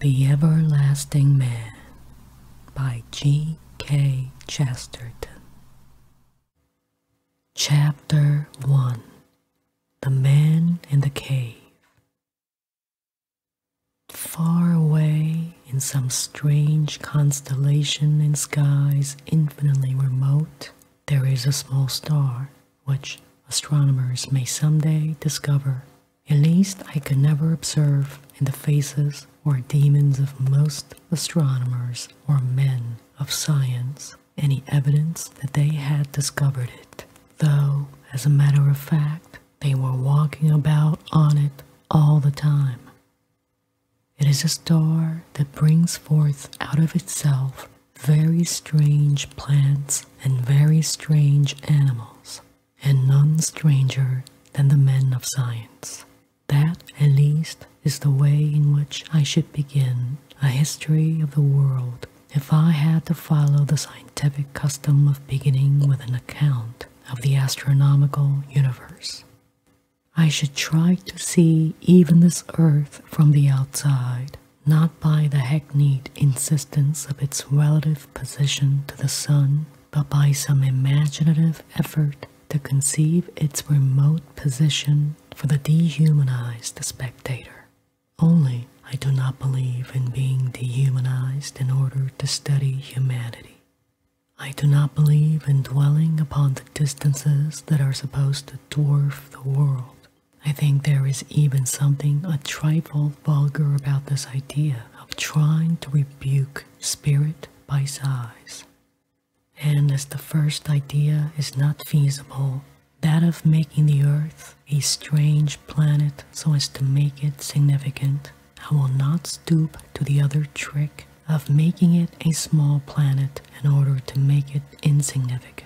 The Everlasting Man by G. K. Chesterton. Chapter 1 The Man in the Cave. Far away in some strange constellation in skies infinitely remote, there is a small star which astronomers may some day discover at least I could never observe in the faces or demons of most astronomers or men of science any evidence that they had discovered it, though, as a matter of fact, they were walking about on it all the time. It is a star that brings forth out of itself very strange plants and very strange animals, and none stranger than the men of science. That, at least, is the way in which I should begin a history of the world if I had to follow the scientific custom of beginning with an account of the astronomical universe. I should try to see even this earth from the outside, not by the hackneyed insistence of its relative position to the sun, but by some imaginative effort to conceive its remote position for the dehumanized spectator. Only I do not believe in being dehumanized in order to study humanity. I do not believe in dwelling upon the distances that are supposed to dwarf the world. I think there is even something a trifle vulgar about this idea, of trying to rebuke spirit by size. And as the first idea is not feasible, that of making the earth a strange planet so as to make it significant, I will not stoop to the other trick of making it a small planet in order to make it insignificant.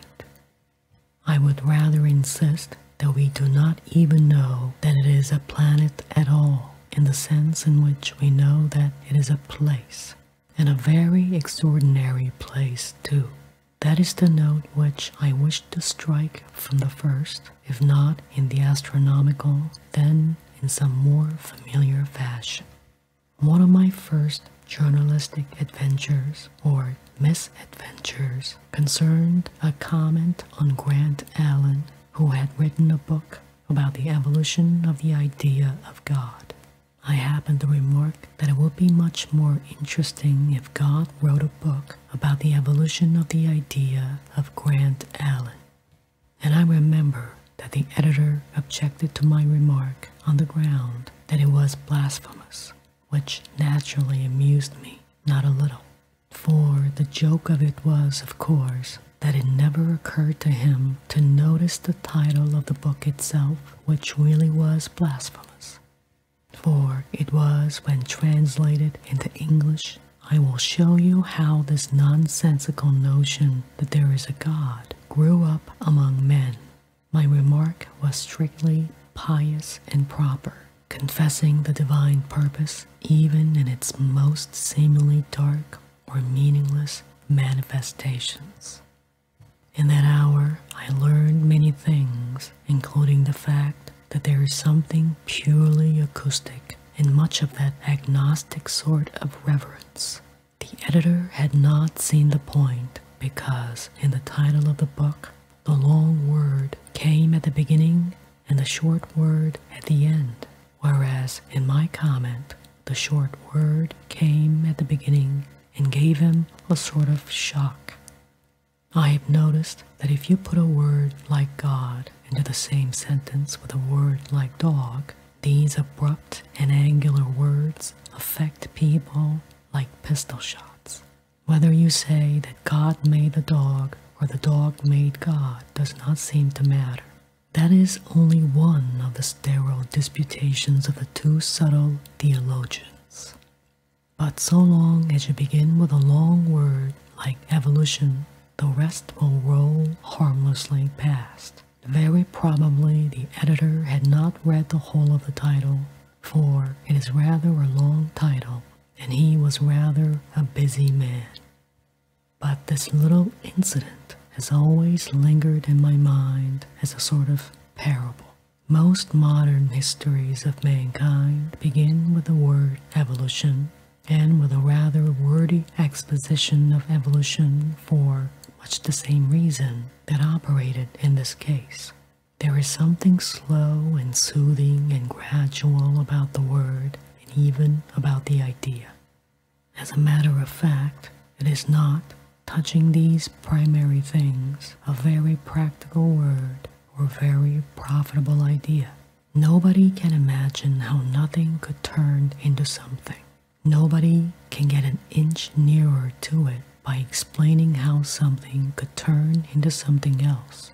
I would rather insist that we do not even know that it is a planet at all, in the sense in which we know that it is a place, and a very extraordinary place too. That is the note which I wished to strike from the first, if not in the astronomical, then in some more familiar fashion. One of my first journalistic adventures, or misadventures, concerned a comment on Grant Allen, who had written a book about the evolution of the idea of God. I happened to remark that it would be much more interesting if God wrote a book about the evolution of the idea of Grant Allen. And I remember that the editor objected to my remark on the ground that it was blasphemous, which naturally amused me not a little. For the joke of it was, of course, that it never occurred to him to notice the title of the book itself, which really was blasphemous. For it was, when translated into English, I will show you how this nonsensical notion that there is a God grew up among men. My remark was strictly pious and proper, confessing the divine purpose even in its most seemingly dark or meaningless manifestations. In that hour, I learned many things, including the fact that there is something purely acoustic in much of that agnostic sort of reverence. The editor had not seen the point because, in the title of the book, the long word came at the beginning and the short word at the end, whereas in my comment, the short word came at the beginning and gave him a sort of shock. I have noticed that if you put a word like God into the same sentence with a word like dog, these abrupt and angular words affect people like pistol shots. Whether you say that God made the dog or the dog made God does not seem to matter. That is only one of the sterile disputations of the two subtle theologians. But so long as you begin with a long word like evolution, the rest will roll harmlessly past. Very probably the editor had not read the whole of the title, for it is rather a long title and he was rather a busy man. But this little incident has always lingered in my mind as a sort of parable. Most modern histories of mankind begin with the word evolution and with a rather wordy exposition of evolution for much the same reason that operated in this case. There is something slow and soothing and gradual about the word and even about the idea. As a matter of fact, it is not touching these primary things a very practical word or very profitable idea. Nobody can imagine how nothing could turn into something. Nobody can get an inch nearer to it by explaining how something could turn into something else.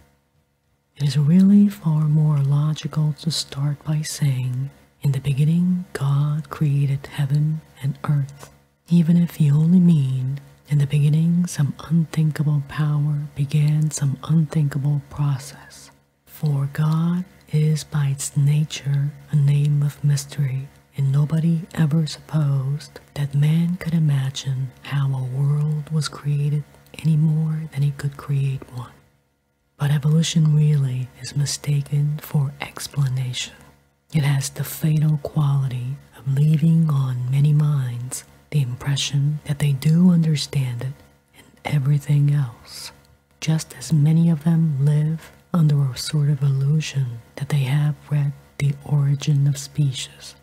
It is really far more logical to start by saying, In the beginning, God created heaven and earth, even if he only mean, In the beginning, some unthinkable power began some unthinkable process. For God is by its nature a name of mystery, and nobody ever supposed that man could imagine how a world was created any more than he could create one. But evolution really is mistaken for explanation. It has the fatal quality of leaving on many minds the impression that they do understand it and everything else, just as many of them live under a sort of illusion that they have read the origin of species,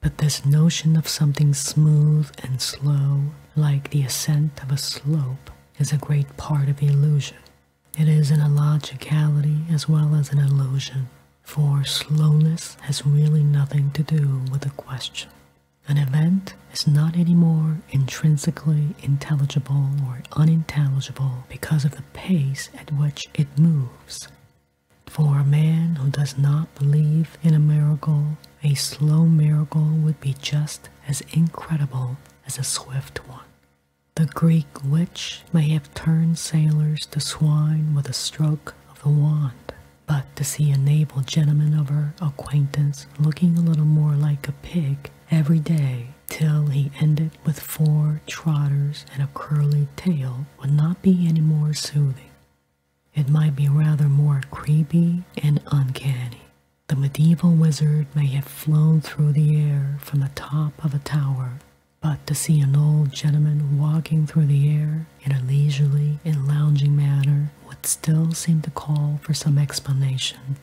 but this notion of something smooth and slow, like the ascent of a slope, is a great part of illusion. It is an illogicality as well as an illusion, for slowness has really nothing to do with the question. An event is not any more intrinsically intelligible or unintelligible because of the pace at which it moves. For a man who does not believe in a miracle a slow miracle would be just as incredible as a swift one. The Greek witch may have turned sailors to swine with a stroke of the wand, but to see a naval gentleman of her acquaintance looking a little more like a pig every day till he ended with four trotters and a curly tail would not be any more soothing. It might be rather more creepy and uncanny. The medieval wizard may have flown through the air from the top of a tower, but to see an old gentleman walking through the air in a leisurely and lounging manner would still seem to call for some explanation.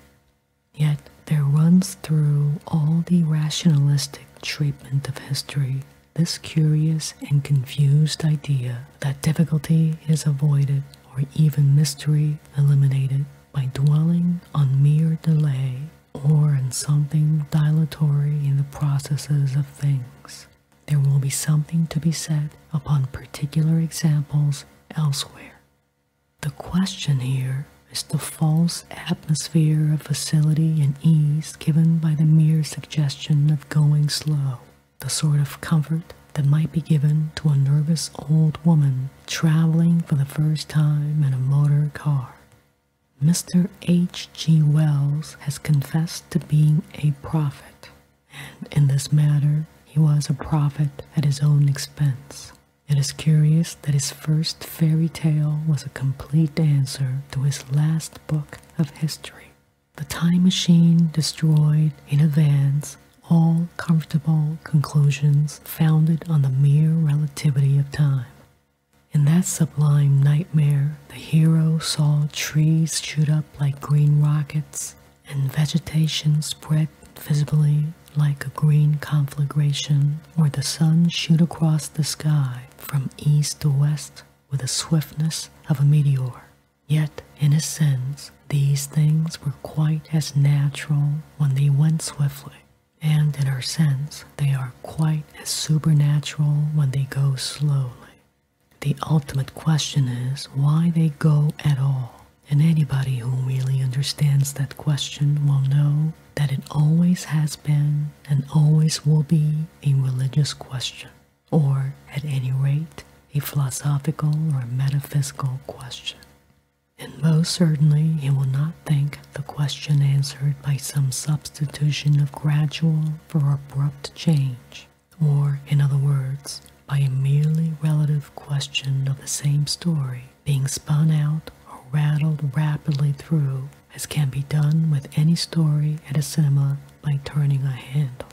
Yet there runs through all the rationalistic treatment of history this curious and confused idea that difficulty is avoided or even mystery eliminated by dwelling on mere delay or on something dilatory in the processes of things. There will be something to be said upon particular examples elsewhere. The question here is the false atmosphere of facility and ease given by the mere suggestion of going slow the sort of comfort that might be given to a nervous old woman traveling for the first time in a motor car. Mr. H. G. Wells has confessed to being a prophet, and in this matter, he was a prophet at his own expense. It is curious that his first fairy tale was a complete answer to his last book of history. The time machine destroyed in advance all comfortable conclusions founded on the mere relativity of time. In that sublime nightmare, the hero saw trees shoot up like green rockets and vegetation spread visibly like a green conflagration, or the sun shoot across the sky from east to west with the swiftness of a meteor. Yet, in a sense, these things were quite as natural when they went swiftly, and in a sense, they are quite as supernatural when they go slowly. The ultimate question is why they go at all, and anybody who really understands that question will know that it always has been and always will be a religious question or at any rate a philosophical or metaphysical question. And most certainly he will not think the question answered by some substitution of gradual for abrupt change, or in other words, by a merely relative question of the same story being spun out or rattled rapidly through as can be done with any story at a cinema by turning a handle.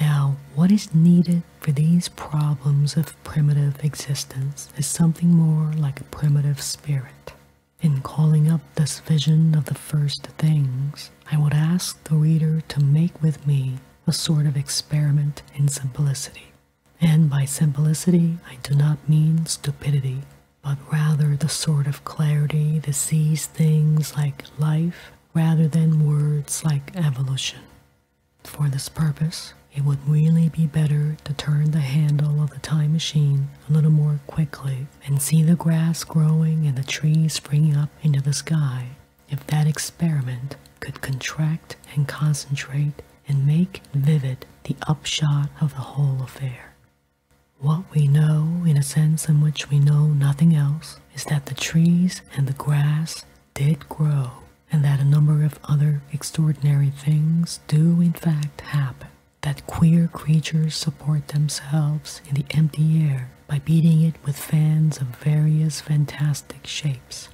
Now, what is needed for these problems of primitive existence is something more like a primitive spirit. In calling up this vision of the first things, I would ask the reader to make with me a sort of experiment in simplicity. And by simplicity, I do not mean stupidity, but rather the sort of clarity that sees things like life rather than words like evolution. For this purpose, it would really be better to turn the handle of the time machine a little more quickly and see the grass growing and the trees springing up into the sky if that experiment could contract and concentrate and make vivid the upshot of the whole affair. What we know in a sense in which we know nothing else is that the trees and the grass did grow, and that a number of other extraordinary things do in fact happen. That queer creatures support themselves in the empty air by beating it with fans of various fantastic shapes.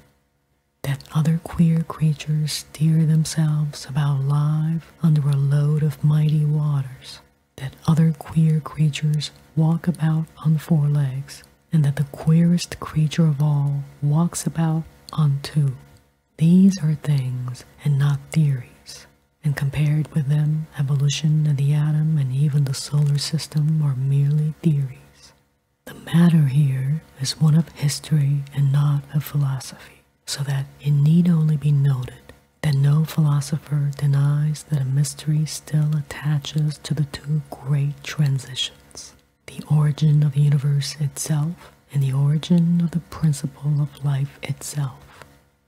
That other queer creatures steer themselves about live under a load of mighty waters. That other queer creatures walk about on four legs and that the queerest creature of all walks about on two. These are things and not theories, and compared with them, evolution and the atom and even the solar system are merely theories. The matter here is one of history and not of philosophy, so that it need only be noted that no philosopher denies that a mystery still attaches to the Two great transitions the origin of the universe itself and the origin of the principle of life itself.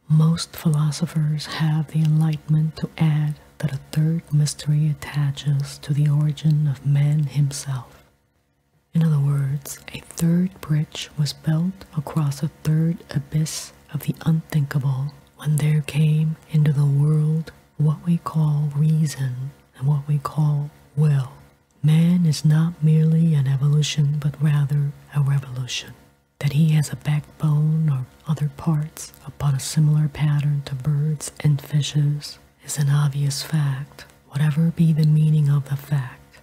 Most philosophers have the enlightenment to add that a third mystery attaches to the origin of man himself. In other words, a third bridge was built across a third abyss of the unthinkable when there came into the world what we call reason and what we call will. Man is not merely an evolution, but rather a revolution. That he has a backbone or other parts upon a similar pattern to birds and fishes is an obvious fact, whatever be the meaning of the fact.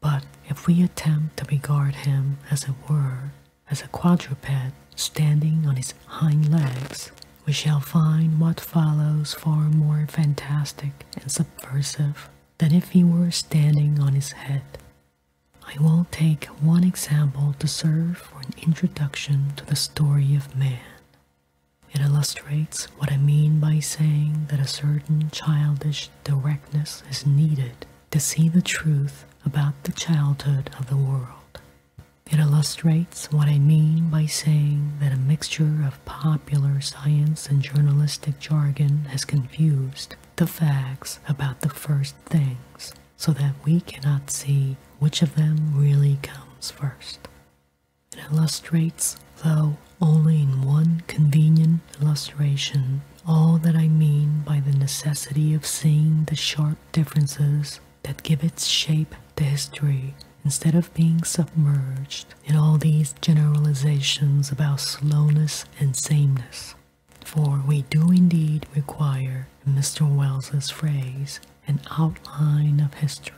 But if we attempt to regard him, as it were, as a quadruped standing on his hind legs, we shall find what follows far more fantastic and subversive than if he were standing on his head. I will take one example to serve for an introduction to the story of man. It illustrates what I mean by saying that a certain childish directness is needed to see the truth about the childhood of the world. It illustrates what I mean by saying that a mixture of popular science and journalistic jargon has confused the facts about the first things so that we cannot see which of them really comes first. It illustrates, though only in one convenient illustration, all that I mean by the necessity of seeing the sharp differences that give its shape to history instead of being submerged in all these generalizations about slowness and sameness. For we do indeed require, in Mr. Wells's phrase, an outline of history.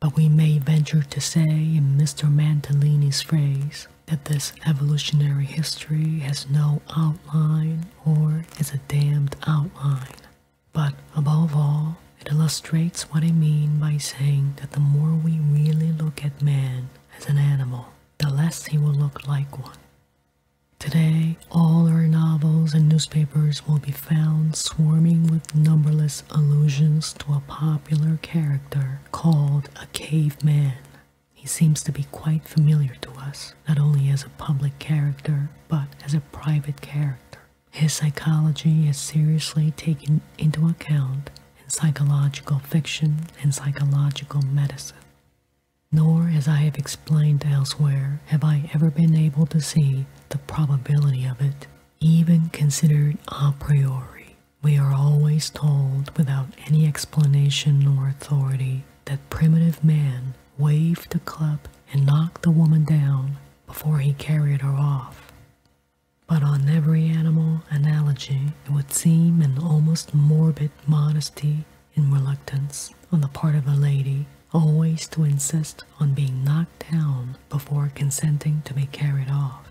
But we may venture to say, in Mr. Mantellini's phrase, that this evolutionary history has no outline or is a damned outline. But above all, it illustrates what I mean by saying that the more we really look at man as an animal, the less he will look like one. Today, all our novels and newspapers will be found swarming with numberless allusions to a popular character called a caveman. He seems to be quite familiar to us, not only as a public character, but as a private character. His psychology is seriously taken into account in psychological fiction and psychological medicine. Nor, as I have explained elsewhere, have I ever been able to see the probability of it, even considered a priori. We are always told, without any explanation or authority, that primitive man waved a club, and knocked the woman down before he carried her off. But on every animal analogy, it would seem an almost morbid modesty and reluctance on the part of a lady always to insist on being knocked down before consenting to be carried off.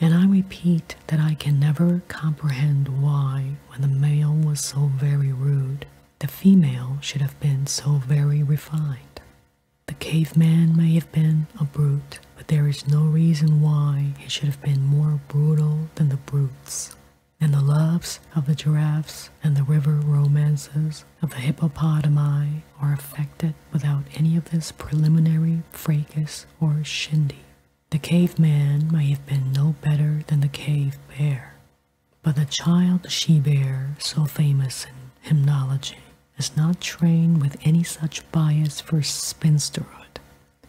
And I repeat that I can never comprehend why, when the male was so very rude, the female should have been so very refined. The cave man may have been a brute, but there is no reason why he should have been more brutal than the brutes. And the loves of the giraffes and the river romances of the hippopotami are affected without any of this preliminary fracas or shindy. The cave man may have been no better than the cave bear. But the child she bare, so famous in hymnology, is not trained with any such bias for spinsterhood.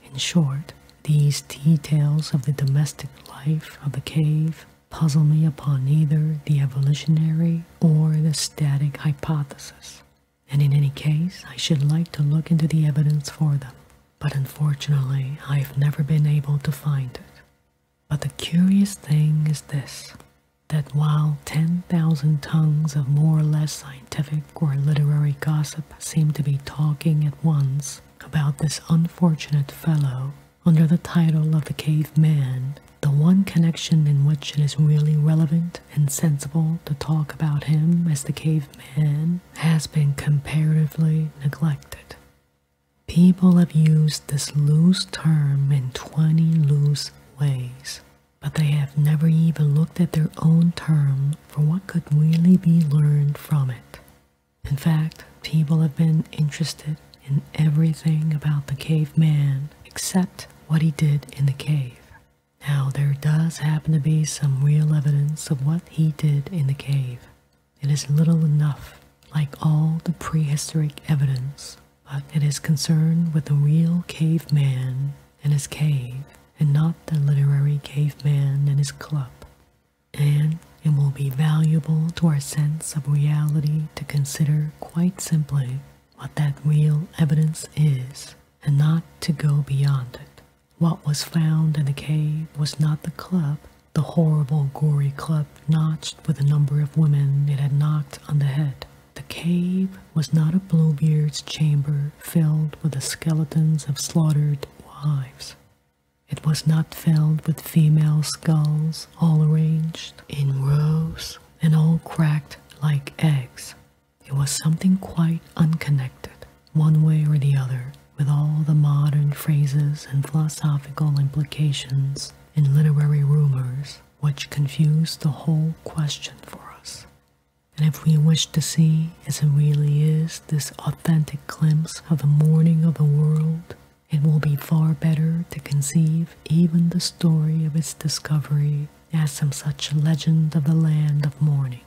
In short, these details of the domestic life of the cave puzzle me upon either the evolutionary or the static hypothesis, and in any case, I should like to look into the evidence for them, but unfortunately, I have never been able to find it. But the curious thing is this that while 10,000 tongues of more or less scientific or literary gossip seem to be talking at once about this unfortunate fellow under the title of the caveman, the one connection in which it is really relevant and sensible to talk about him as the caveman has been comparatively neglected. People have used this loose term in 20 loose ways, but they have never even looked at their own term for what could really be learned from it. In fact, people have been interested in everything about the caveman except what he did in the cave. Now, there does happen to be some real evidence of what he did in the cave, it is little enough, like all the prehistoric evidence, but it is concerned with the real caveman and his cave, and not the literary caveman and his club. And it will be valuable to our sense of reality to consider quite simply what that real evidence is, and not to go beyond it. What was found in the cave was not the club, the horrible gory club, notched with the number of women it had knocked on the head. The cave was not a Bluebeard's chamber filled with the skeletons of slaughtered wives. It was not filled with female skulls all arranged in rows and all cracked like eggs. It was something quite unconnected, one way or the other, with all the modern phrases and philosophical implications in literary rumors which confuse the whole question for us. And if we wish to see, as it really is, this authentic glimpse of the morning of the world, it will be far better to conceive even the story of its discovery as some such legend of the land of morning.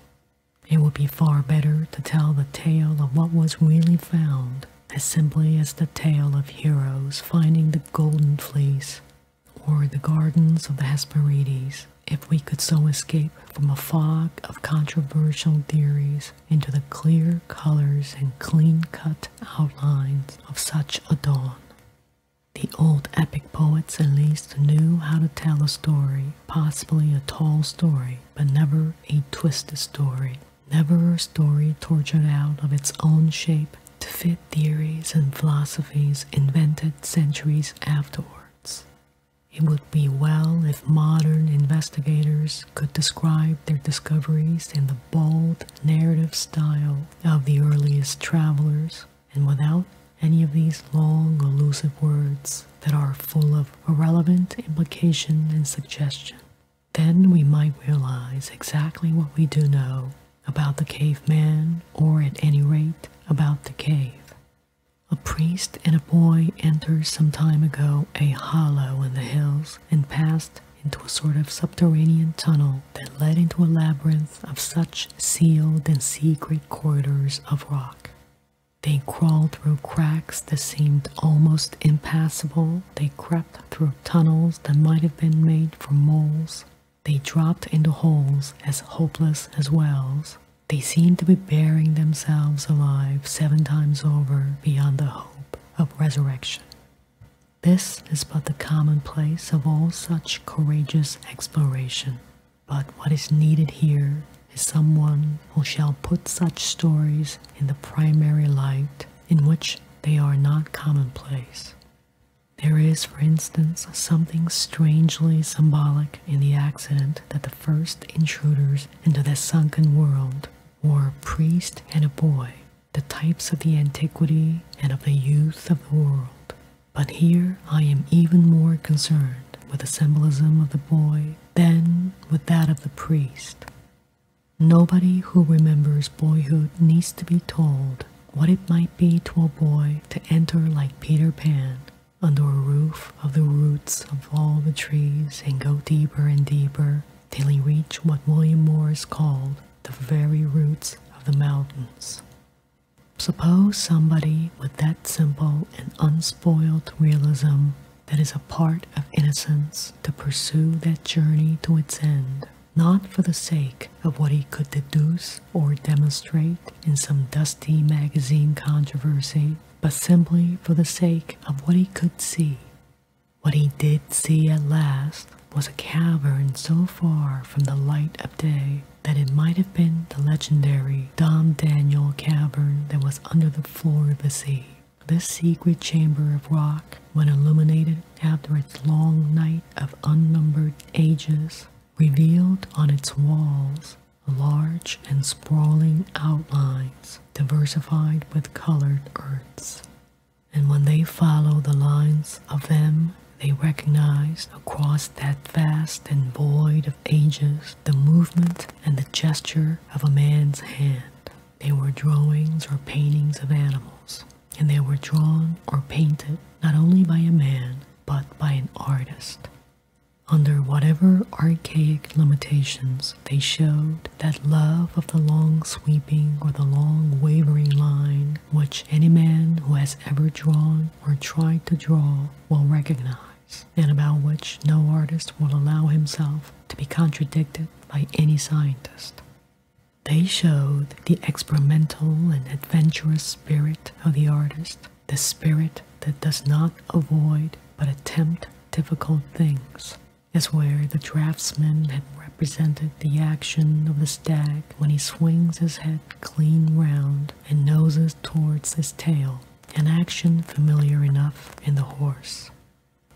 It would be far better to tell the tale of what was really found as simply as the tale of heroes finding the golden fleece or the gardens of the Hesperides, if we could so escape from a fog of controversial theories into the clear colors and clean-cut outlines of such a dawn. The old epic poets at least knew how to tell a story, possibly a tall story, but never a twisted story never a story tortured out of its own shape to fit theories and philosophies invented centuries afterwards. It would be well if modern investigators could describe their discoveries in the bold narrative style of the earliest travelers and without any of these long, elusive words that are full of irrelevant implication and suggestion. Then we might realize exactly what we do know about the caveman, or at any rate, about the cave. A priest and a boy entered some time ago a hollow in the hills and passed into a sort of subterranean tunnel that led into a labyrinth of such sealed and secret corridors of rock. They crawled through cracks that seemed almost impassable. They crept through tunnels that might have been made for moles. They dropped into holes as hopeless as wells. They seemed to be bearing themselves alive seven times over beyond the hope of resurrection. This is but the commonplace of all such courageous exploration. But what is needed here is someone who shall put such stories in the primary light in which they are not commonplace. There is, for instance, something strangely symbolic in the accident that the first intruders into this sunken world were a priest and a boy, the types of the antiquity and of the youth of the world. But here I am even more concerned with the symbolism of the boy than with that of the priest. Nobody who remembers boyhood needs to be told what it might be to a boy to enter like Peter Pan under a roof of the roots of all the trees and go deeper and deeper till he reached what William Morris called the very roots of the mountains. Suppose somebody with that simple and unspoiled realism that is a part of innocence to pursue that journey to its end not for the sake of what he could deduce or demonstrate in some dusty magazine controversy, but simply for the sake of what he could see. What he did see at last was a cavern so far from the light of day that it might have been the legendary Dom Daniel cavern that was under the floor of the sea. This secret chamber of rock when illuminated after its long night of unnumbered ages, revealed on its walls large and sprawling outlines diversified with colored earths. And when they followed the lines of them, they recognized across that vast and void of ages the movement and the gesture of a man's hand. They were drawings or paintings of animals, and they were drawn or painted not only by a man but by an artist. Under whatever archaic limitations, they showed that love of the long sweeping or the long wavering line which any man who has ever drawn or tried to draw will recognize, and about which no artist will allow himself to be contradicted by any scientist. They showed the experimental and adventurous spirit of the artist, the spirit that does not avoid but attempt difficult things, as where the draftsman had represented the action of the stag when he swings his head clean round and noses towards his tail, an action familiar enough in the horse.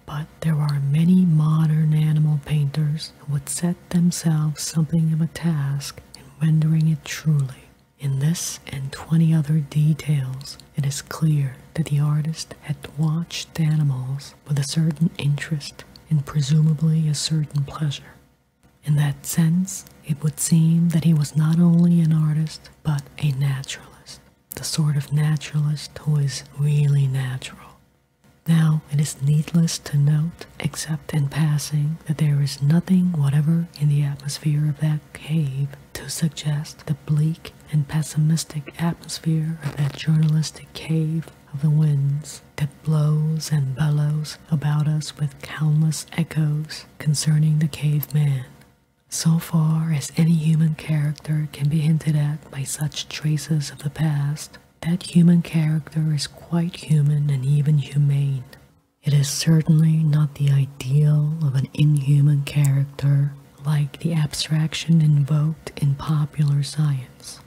But there are many modern animal painters who would set themselves something of a task in rendering it truly. In this and 20 other details, it is clear that the artist had watched animals with a certain interest and presumably a certain pleasure. In that sense, it would seem that he was not only an artist, but a naturalist, the sort of naturalist who is really natural, now, it is needless to note, except in passing, that there is nothing whatever in the atmosphere of that cave to suggest the bleak and pessimistic atmosphere of that journalistic cave of the winds that blows and bellows about us with countless echoes concerning the caveman. So far as any human character can be hinted at by such traces of the past, that human character is quite human and even humane. It is certainly not the ideal of an inhuman character like the abstraction invoked in popular science.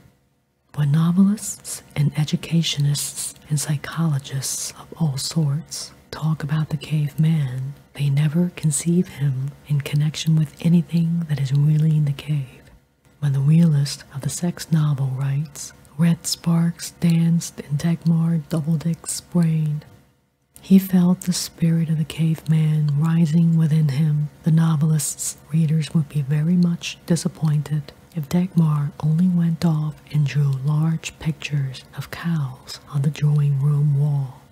But novelists and educationists and psychologists of all sorts talk about the cave man, they never conceive him in connection with anything that is really in the cave. When the realist of the sex novel writes, red sparks danced in Dagmar Doubledick's brain. He felt the spirit of the cave man rising within him. The novelist's readers would be very much disappointed if Dagmar only went off and drew large pictures of cows on the drawing room wall.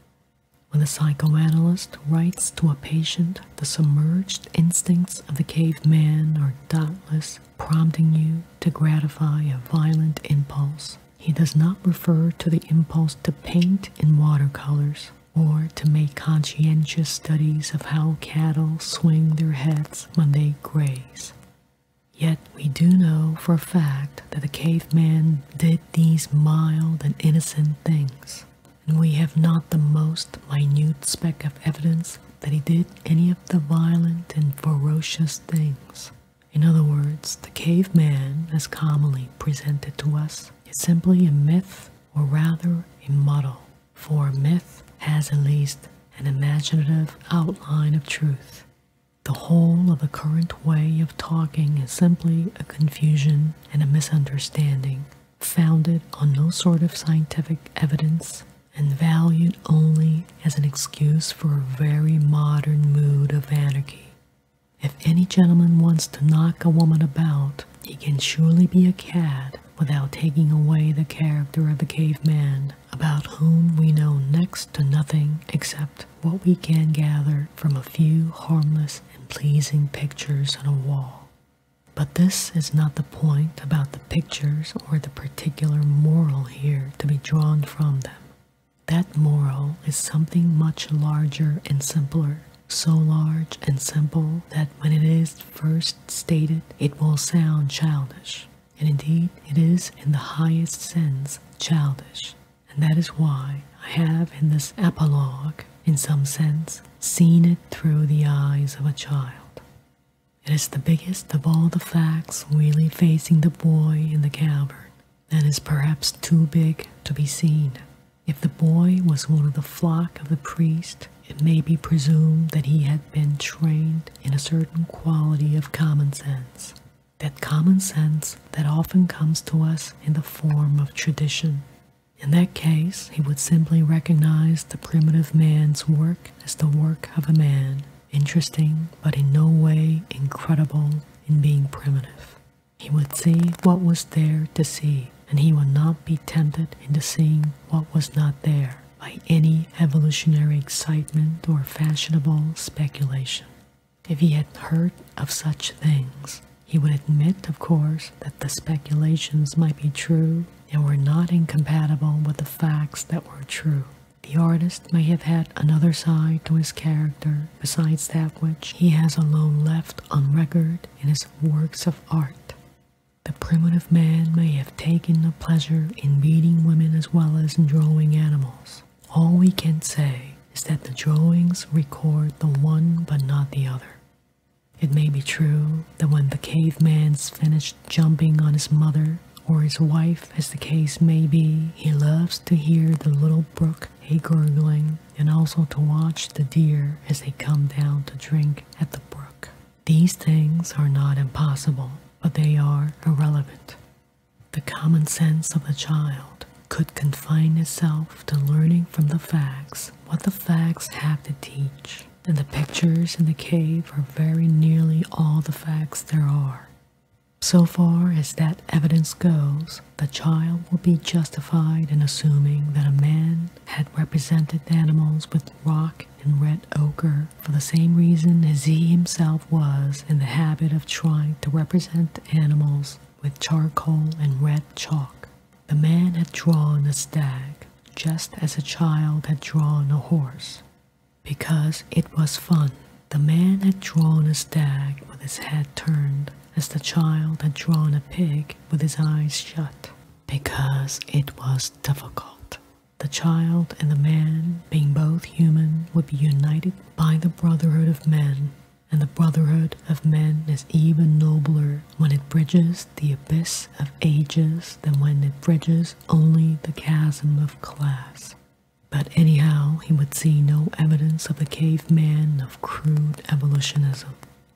When the psychoanalyst writes to a patient the submerged instincts of the caveman are doubtless prompting you to gratify a violent impulse. He does not refer to the impulse to paint in watercolors or to make conscientious studies of how cattle swing their heads when they graze. Yet we do know for a fact that the caveman did these mild and innocent things. We have not the most minute speck of evidence that he did any of the violent and ferocious things. In other words, the caveman, as commonly presented to us, is simply a myth, or rather a model, for a myth has at least an imaginative outline of truth. The whole of the current way of talking is simply a confusion and a misunderstanding founded on no sort of scientific evidence and valued only as an excuse for a very modern mood of anarchy. If any gentleman wants to knock a woman about, he can surely be a cad without taking away the character of the caveman, about whom we know next to nothing except what we can gather from a few harmless and pleasing pictures on a wall. But this is not the point about the pictures or the particular moral here to be drawn from them. That moral is something much larger and simpler, so large and simple that when it is first stated, it will sound childish. And indeed, it is in the highest sense childish. And that is why I have in this apologue, in some sense, seen it through the eyes of a child. It is the biggest of all the facts really facing the boy in the cavern, That is perhaps too big to be seen. If the boy was one of the flock of the priest, it may be presumed that he had been trained in a certain quality of common sense. That common sense that often comes to us in the form of tradition. In that case, he would simply recognize the primitive man's work as the work of a man, interesting but in no way incredible in being primitive. He would see what was there to see, and he would not be tempted into seeing what was not there by any evolutionary excitement or fashionable speculation. If he had heard of such things, he would admit, of course, that the speculations might be true and were not incompatible with the facts that were true. The artist may have had another side to his character besides that which he has alone left on record in his works of art. The primitive man may have taken a pleasure in beating women as well as in drawing animals. All we can say is that the drawings record the one but not the other. It may be true that when the cave caveman's finished jumping on his mother or his wife, as the case may be, he loves to hear the little brook a gurgling and also to watch the deer as they come down to drink at the brook. These things are not impossible, but they are irrelevant. The common sense of the child could confine itself to learning from the facts what the facts have to teach and the pictures in the cave are very nearly all the facts there are. So far as that evidence goes, the child will be justified in assuming that a man had represented animals with rock and red ochre for the same reason as he himself was in the habit of trying to represent animals with charcoal and red chalk. The man had drawn a stag, just as a child had drawn a horse. Because it was fun, the man had drawn a stag with his head turned, as the child had drawn a pig with his eyes shut. Because it was difficult. The child and the man, being both human, would be united by the brotherhood of men, and the brotherhood of men is even nobler when it bridges the abyss of ages than when it bridges only the chasm of class. But anyhow, he would see no evidence of the caveman of crude evolutionism,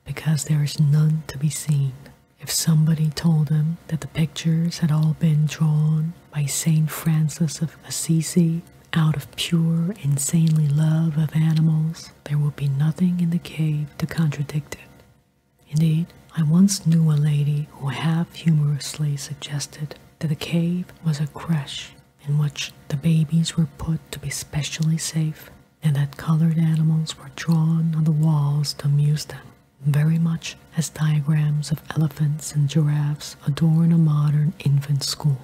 because there is none to be seen. If somebody told him that the pictures had all been drawn by St. Francis of Assisi out of pure, insanely love of animals, there would be nothing in the cave to contradict it. Indeed, I once knew a lady who half humorously suggested that the cave was a creche in which the babies were put to be specially safe and that colored animals were drawn on the walls to amuse them, very much as diagrams of elephants and giraffes adorn a modern infant school.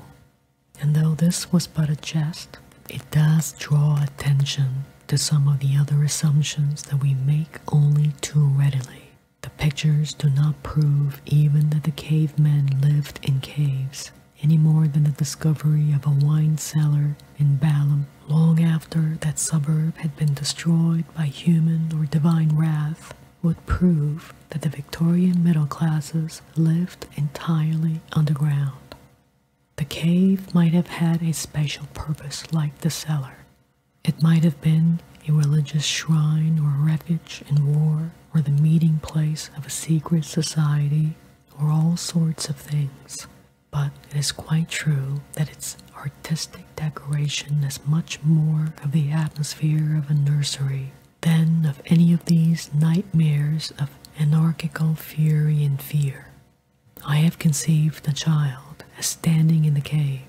And though this was but a jest, it does draw attention to some of the other assumptions that we make only too readily. The pictures do not prove even that the cave men lived in caves, any more than the discovery of a wine cellar in Balaam long after that suburb had been destroyed by human or divine wrath would prove that the Victorian middle classes lived entirely underground. The cave might have had a special purpose like the cellar, it might have been a religious shrine or refuge in war, or the meeting place of a secret society, or all sorts of things. But it is quite true that its artistic decoration has much more of the atmosphere of a nursery than of any of these nightmares of anarchical fury and fear. I have conceived the child as standing in the cave,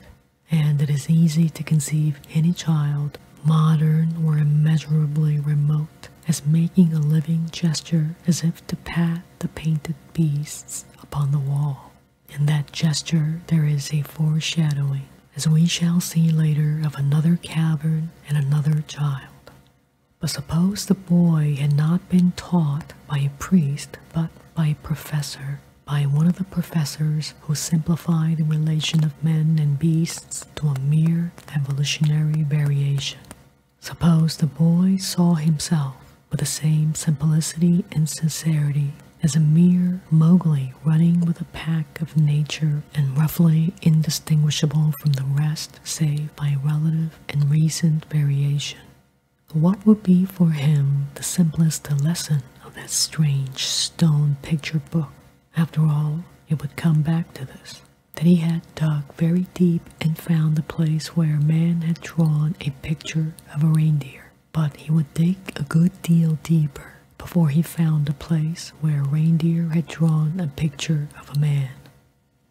and it is easy to conceive any child, modern or immeasurably remote, as making a living gesture as if to pat the painted beasts upon the wall. In that gesture there is a foreshadowing, as we shall see later, of another cavern and another child. But suppose the boy had not been taught by a priest, but by a professor, by one of the professors who simplified the relation of men and beasts to a mere evolutionary variation. Suppose the boy saw himself with the same simplicity and sincerity as a mere Mowgli running with a pack of nature and roughly indistinguishable from the rest save by relative and recent variation. What would be for him the simplest lesson of that strange stone picture book? After all, it would come back to this that he had dug very deep and found the place where a man had drawn a picture of a reindeer. But he would dig a good deal deeper before he found a place where a reindeer had drawn a picture of a man.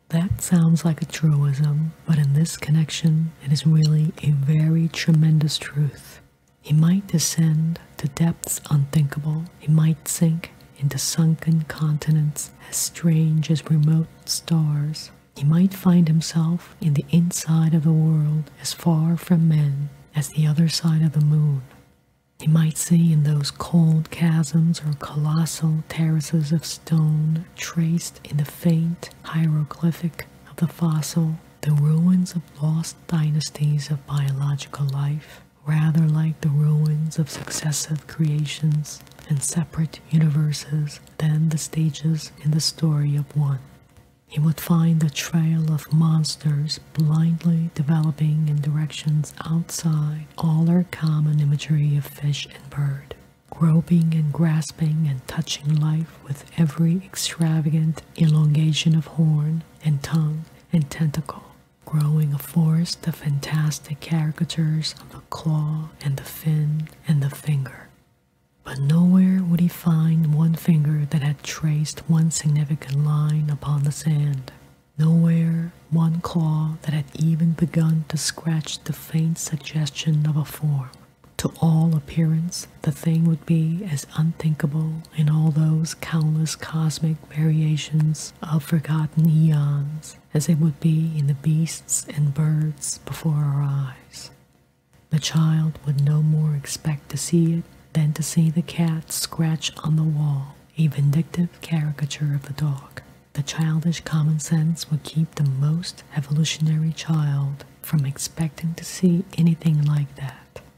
That sounds like a truism, but in this connection, it is really a very tremendous truth. He might descend to depths unthinkable, he might sink into sunken continents as strange as remote stars. He might find himself in the inside of the world as far from men as the other side of the moon. He might see in those cold chasms or colossal terraces of stone traced in the faint hieroglyphic of the fossil, the ruins of lost dynasties of biological life, rather like the ruins of successive creations and separate universes than the stages in the story of one. He would find a trail of monsters blindly developing in directions outside all our common imagery of fish and bird groping and grasping and touching life with every extravagant elongation of horn and tongue and tentacle, growing a forest of fantastic caricatures of the claw and the fin and the finger. But nowhere would he find one finger that had traced one significant line upon the sand. Nowhere one claw that had even begun to scratch the faint suggestion of a form. To all appearance, the thing would be as unthinkable in all those countless cosmic variations of forgotten eons as it would be in the beasts and birds before our eyes. The child would no more expect to see it than to see the cat scratch on the wall, a vindictive caricature of the dog. The childish common sense would keep the most evolutionary child from expecting to see anything like that.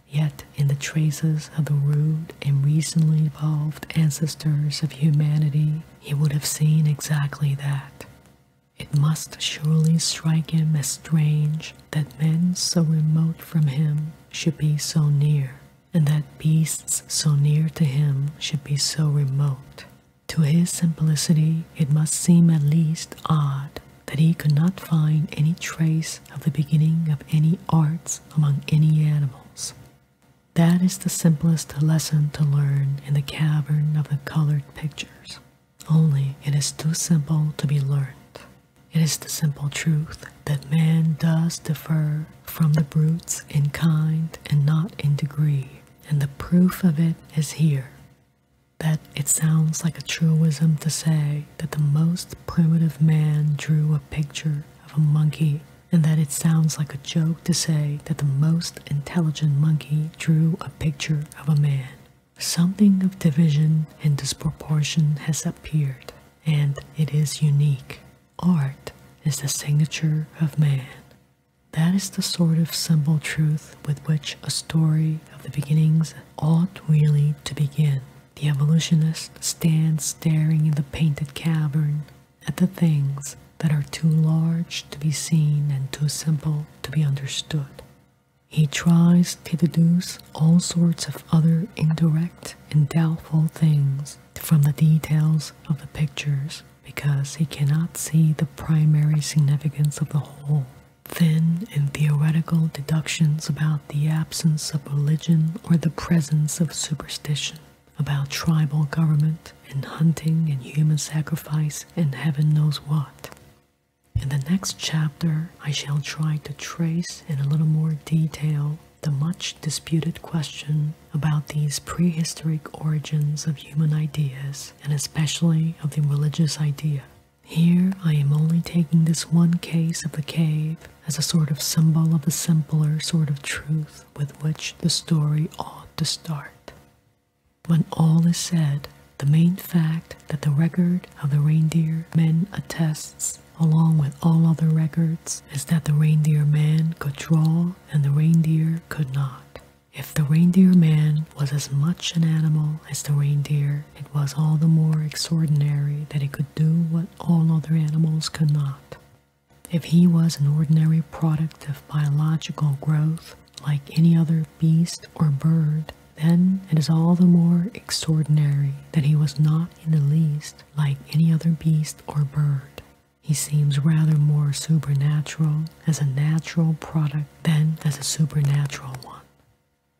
Yet, in the traces of the rude and recently evolved ancestors of humanity, he would have seen exactly that. It must surely strike him as strange that men so remote from him should be so near, and that beasts so near to him should be so remote. To his simplicity, it must seem at least odd that he could not find any trace of the beginning of any arts among any animals. That is the simplest lesson to learn in the cavern of the colored pictures. Only it is too simple to be learned. It is the simple truth that man does differ from the brutes in kind and not in degree, and the proof of it is here that it sounds like a truism to say that the most primitive man drew a picture of a monkey, and that it sounds like a joke to say that the most intelligent monkey drew a picture of a man. Something of division and disproportion has appeared, and it is unique. Art is the signature of man. That is the sort of simple truth with which a story of the beginnings ought really to begin. The evolutionist stands staring in the painted cavern at the things that are too large to be seen and too simple to be understood. He tries to deduce all sorts of other indirect and doubtful things from the details of the pictures because he cannot see the primary significance of the whole thin and theoretical deductions about the absence of religion or the presence of superstition, about tribal government and hunting and human sacrifice and heaven knows what. In the next chapter, I shall try to trace in a little more detail the much disputed question about these prehistoric origins of human ideas and especially of the religious idea. Here I am only taking this one case of the cave as a sort of symbol of the simpler sort of truth with which the story ought to start. When all is said, the main fact that the record of the reindeer men attests, along with all other records, is that the reindeer man could draw and the reindeer could not. If the reindeer man was as much an animal as the reindeer, it was all the more extraordinary that he could do what all other animals could not. If he was an ordinary product of biological growth, like any other beast or bird, then it is all the more extraordinary that he was not in the least like any other beast or bird. He seems rather more supernatural as a natural product than as a supernatural one.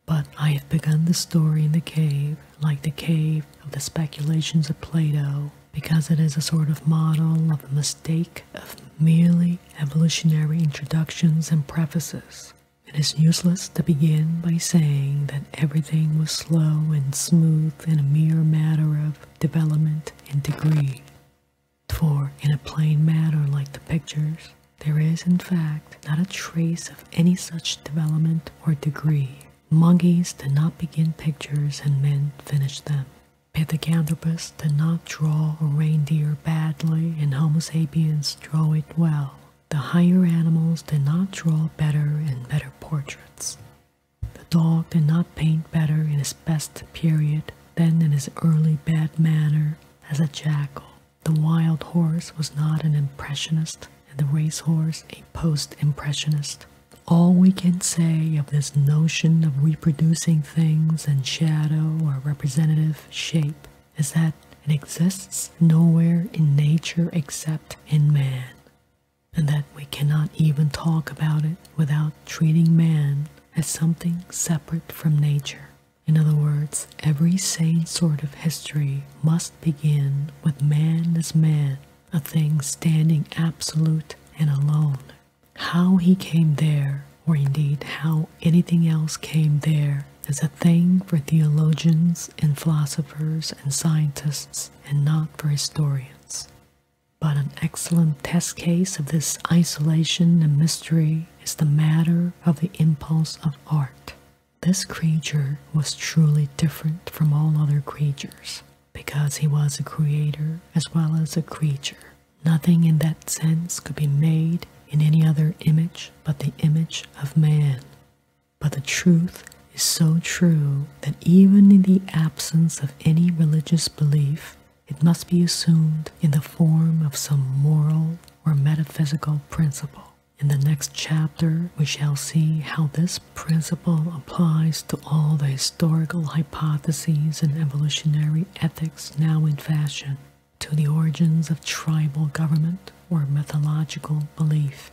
But I have begun the story in the cave, like the cave of the speculations of Plato, because it is a sort of model of the mistake of merely evolutionary introductions and prefaces. It is useless to begin by saying that everything was slow and smooth and a mere matter of development and degree. For in a plain matter like the pictures, there is, in fact, not a trace of any such development or degree. Monkeys did not begin pictures and men finished them. Pithecanthropus did not draw a reindeer badly and Homo sapiens draw it well. The higher animals did not draw better and better portraits. The dog did not paint better in his best period than in his early bad manner as a jackal. The wild horse was not an impressionist, and the race horse a post impressionist. All we can say of this notion of reproducing things in shadow or representative shape is that it exists nowhere in nature except in man, and that we cannot even talk about it without treating man as something separate from nature. In other words, every sane sort of history must begin with man as man, a thing standing absolute and alone. How he came there, or indeed how anything else came there, is a thing for theologians and philosophers and scientists and not for historians. But an excellent test case of this isolation and mystery is the matter of the impulse of art. This creature was truly different from all other creatures because he was a creator as well as a creature. Nothing in that sense could be made in any other image but the image of man. But the truth is so true that even in the absence of any religious belief, it must be assumed in the form of some moral or metaphysical principle. In the next chapter, we shall see how this principle applies to all the historical hypotheses and evolutionary ethics now in fashion, to the origins of tribal government or mythological belief.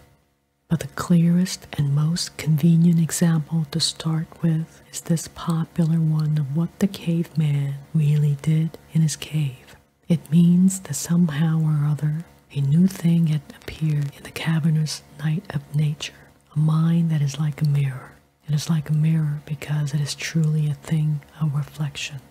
But the clearest and most convenient example to start with is this popular one of what the caveman really did in his cave. It means that somehow or other a new thing had appeared in the cavernous night of nature, a mind that is like a mirror. It is like a mirror because it is truly a thing of reflection.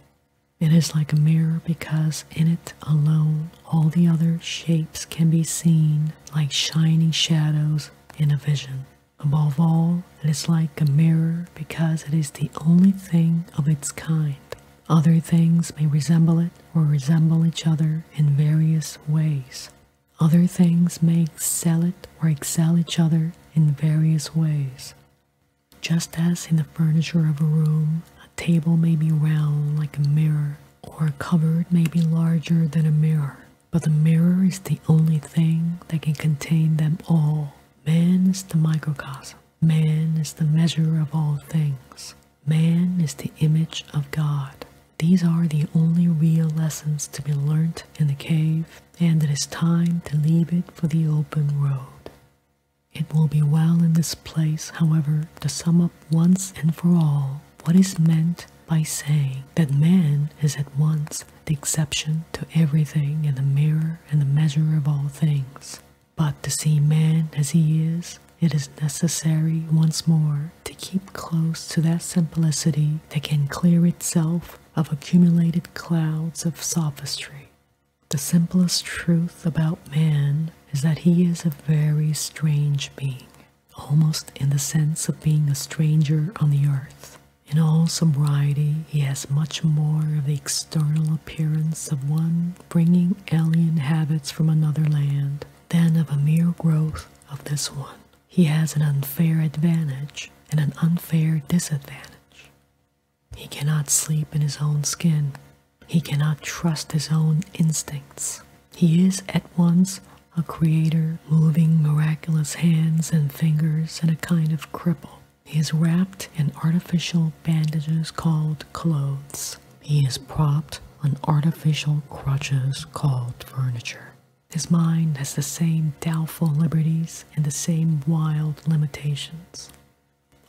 It is like a mirror because in it alone all the other shapes can be seen like shining shadows in a vision. Above all, it is like a mirror because it is the only thing of its kind. Other things may resemble it or resemble each other in various ways. Other things may excel it or excel each other in various ways. Just as in the furniture of a room, a table may be round like a mirror, or a cupboard may be larger than a mirror, but the mirror is the only thing that can contain them all. Man is the microcosm. Man is the measure of all things. Man is the image of God. These are the only real lessons to be learnt in the cave, and it is time to leave it for the open road. It will be well in this place, however, to sum up once and for all what is meant by saying that man is at once the exception to everything and the mirror and the measure of all things. But to see man as he is, it is necessary once more to keep close to that simplicity that can clear itself of accumulated clouds of sophistry. The simplest truth about man is that he is a very strange being, almost in the sense of being a stranger on the earth. In all sobriety, he has much more of the external appearance of one bringing alien habits from another land than of a mere growth of this one. He has an unfair advantage and an unfair disadvantage. He cannot sleep in his own skin. He cannot trust his own instincts. He is at once a creator, moving miraculous hands and fingers, and a kind of cripple. He is wrapped in artificial bandages called clothes. He is propped on artificial crutches called furniture. His mind has the same doubtful liberties and the same wild limitations.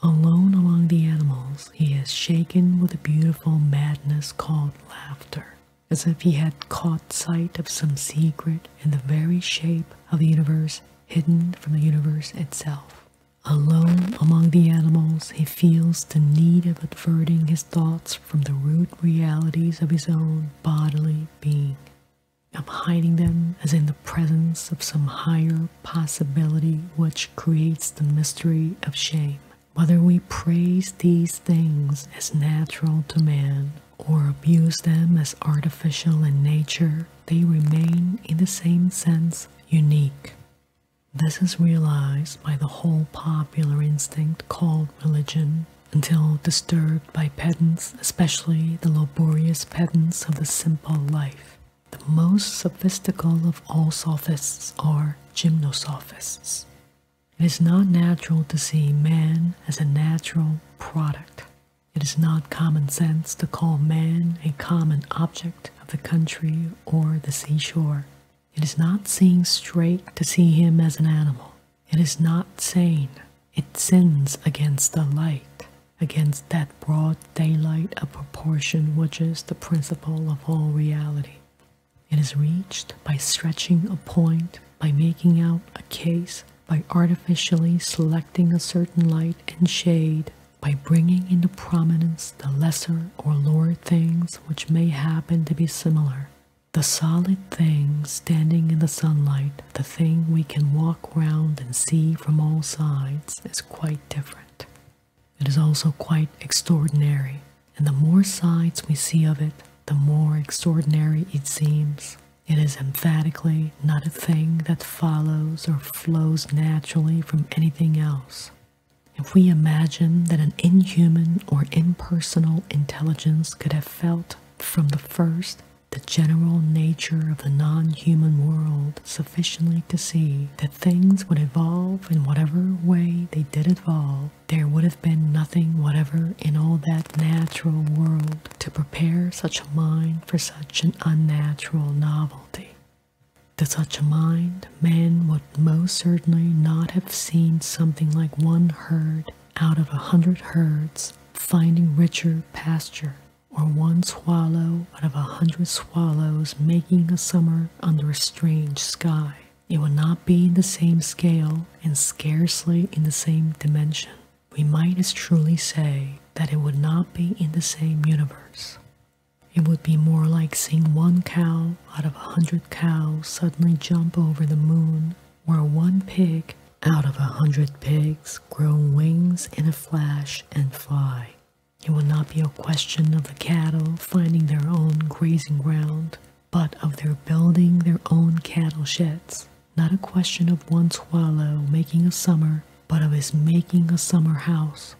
Alone among the animals, he is shaken with a beautiful madness called laughter, as if he had caught sight of some secret in the very shape of the universe hidden from the universe itself. Alone among the animals, he feels the need of averting his thoughts from the rude realities of his own bodily being, of hiding them as in the presence of some higher possibility which creates the mystery of shame. Whether we praise these things as natural to man or abuse them as artificial in nature, they remain in the same sense unique. This is realized by the whole popular instinct called religion, until disturbed by pedants, especially the laborious pedants of the simple life. The most sophistical of all sophists are gymnosophists. It is not natural to see man as a natural product. It is not common sense to call man a common object of the country or the seashore. It is not seeing straight to see him as an animal. It is not sane. It sins against the light, against that broad daylight of proportion which is the principle of all reality. It is reached by stretching a point, by making out a case, by artificially selecting a certain light and shade by bringing into prominence the lesser or lower things which may happen to be similar. The solid thing standing in the sunlight, the thing we can walk round and see from all sides, is quite different. It is also quite extraordinary, and the more sides we see of it, the more extraordinary it seems. It is emphatically not a thing that follows or flows naturally from anything else. If we imagine that an inhuman or impersonal intelligence could have felt from the first the general nature of the non-human world sufficiently to see that things would evolve in whatever way they did evolve, there would have been nothing whatever in all that natural world to prepare such a mind for such an unnatural novelty. To such a mind, man would most certainly not have seen something like one herd out of a hundred herds finding richer pasture, or one swallow out of a hundred swallows making a summer under a strange sky. It would not be in the same scale and scarcely in the same dimension. We might as truly say that it would not be in the same universe. It would be more like seeing one cow out of a hundred cows suddenly jump over the moon, or one pig out of a hundred pigs grow wings in a flash and fly. It will not be a question of the cattle finding their own grazing ground, but of their building their own cattle sheds. Not a question of one swallow making a summer, but of his making a summer house.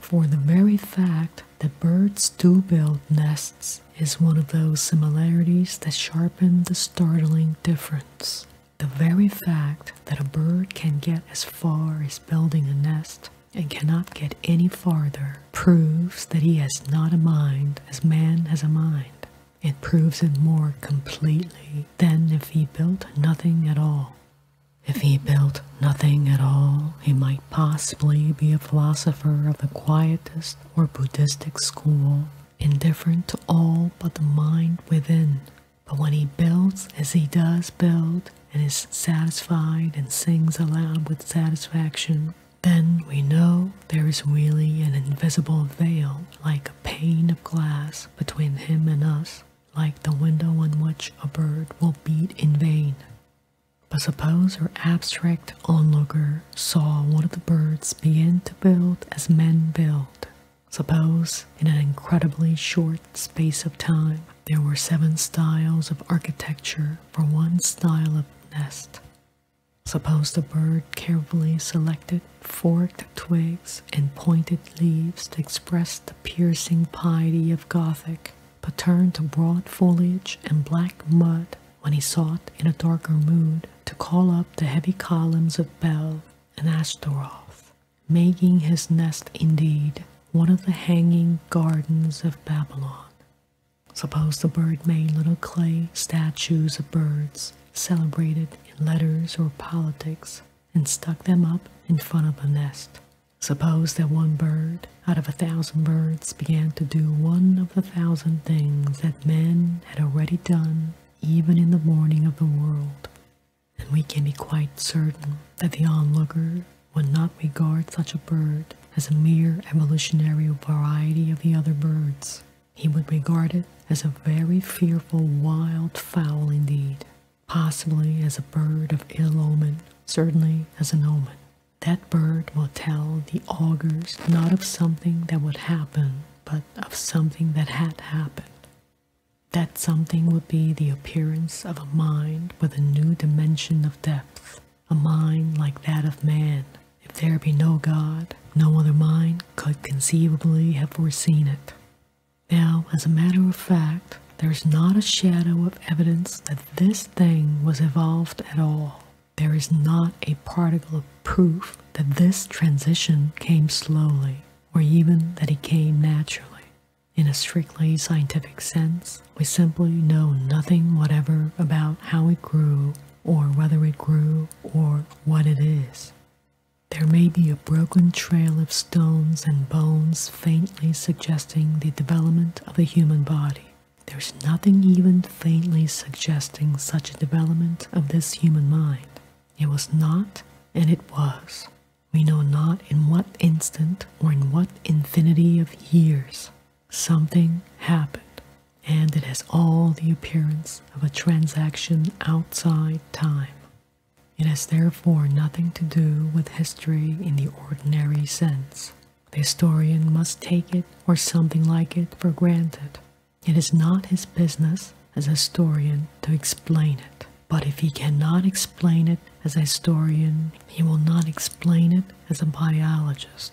For the very fact that birds do build nests is one of those similarities that sharpen the startling difference. The very fact that a bird can get as far as building a nest and cannot get any farther proves that he has not a mind as man has a mind. It proves it more completely than if he built nothing at all. If he built nothing at all, he might possibly be a philosopher of the quietist or Buddhistic school, indifferent to all but the mind within. But when he builds as he does build, and is satisfied and sings aloud with satisfaction, then we know there is really an invisible veil, like a pane of glass, between him and us, like the window on which a bird will beat in vain. But suppose our abstract onlooker saw one of the birds begin to build as men build. Suppose, in an incredibly short space of time, there were seven styles of architecture for one style of nest. Suppose the bird carefully selected forked twigs and pointed leaves to express the piercing piety of Gothic, but turned to broad foliage and black mud when he sought, in a darker mood, to call up the heavy columns of Bel and Ashtaroth, making his nest indeed one of the hanging gardens of Babylon. Suppose the bird made little clay statues of birds celebrated in letters or politics and stuck them up in front of the nest Suppose that one bird out of a thousand birds began to do one of the thousand things that men had already done even in the morning of the world, and we can be quite certain that the onlooker would not regard such a bird as a mere evolutionary variety of the other birds. He would regard it as a very fearful wild fowl indeed, possibly as a bird of ill omen, certainly as an omen. That bird will tell the augurs not of something that would happen, but of something that had happened. That something would be the appearance of a mind with a new dimension of depth, a mind like that of man. If there be no God, no other mind could conceivably have foreseen it. Now, as a matter of fact, there's not a shadow of evidence that this thing was evolved at all. There is not a particle of proof that this transition came slowly, or even that it came naturally. In a strictly scientific sense, we simply know nothing whatever about how it grew, or whether it grew, or what it is. There may be a broken trail of stones and bones faintly suggesting the development of a human body. There's nothing even faintly suggesting such a development of this human mind. It was not, and it was. We know not in what instant or in what infinity of years something happened, and it has all the appearance of a transaction outside time. It has therefore nothing to do with history in the ordinary sense. The historian must take it, or something like it, for granted. It is not his business as a historian to explain it. But if he cannot explain it as a historian, he will not explain it as a biologist.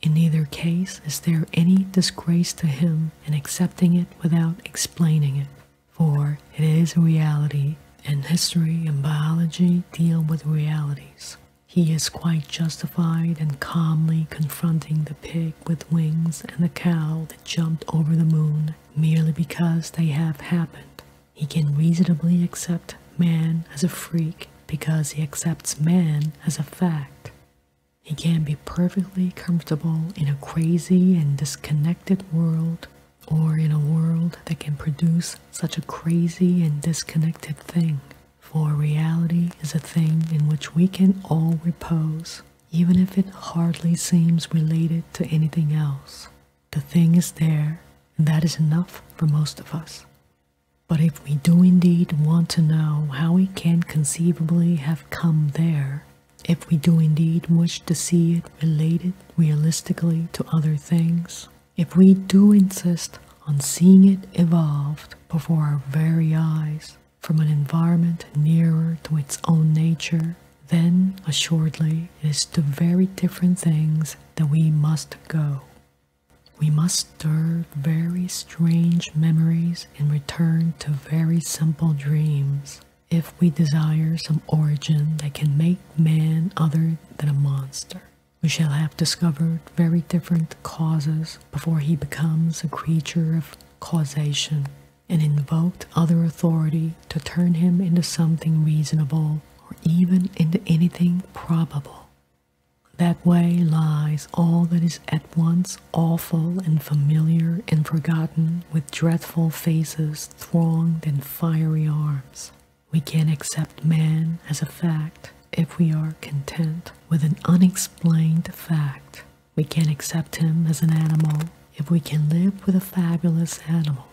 In either case, is there any disgrace to him in accepting it without explaining it? for it is reality, and history and biology deal with realities. He is quite justified in calmly confronting the pig with wings and the cow that jumped over the moon merely because they have happened. He can reasonably accept man as a freak because he accepts man as a fact. He can be perfectly comfortable in a crazy and disconnected world or in a world that can produce such a crazy and disconnected thing. For reality is a thing in which we can all repose, even if it hardly seems related to anything else. The thing is there, and that is enough for most of us. But if we do indeed want to know how we can conceivably have come there, if we do indeed wish to see it related realistically to other things, if we do insist on seeing it evolved before our very eyes from an environment nearer to its own nature, then assuredly it is to very different things that we must go. We must stir very strange memories and return to very simple dreams if we desire some origin that can make man other than a monster. We shall have discovered very different causes before he becomes a creature of causation and invoked other authority to turn him into something reasonable or even into anything probable. That way lies all that is at once awful and familiar and forgotten with dreadful faces thronged in fiery arms. We can accept man as a fact if we are content with an unexplained fact. We can accept him as an animal if we can live with a fabulous animal.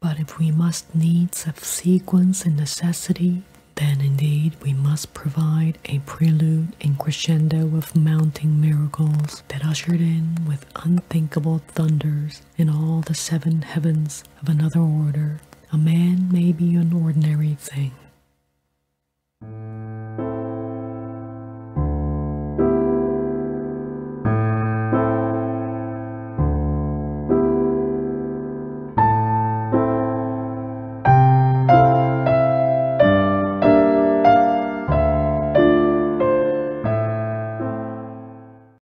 But if we must needs of sequence and necessity, then indeed we must provide a prelude and crescendo of mounting miracles that ushered in with unthinkable thunders in all the seven heavens of another order, a man may be an ordinary thing.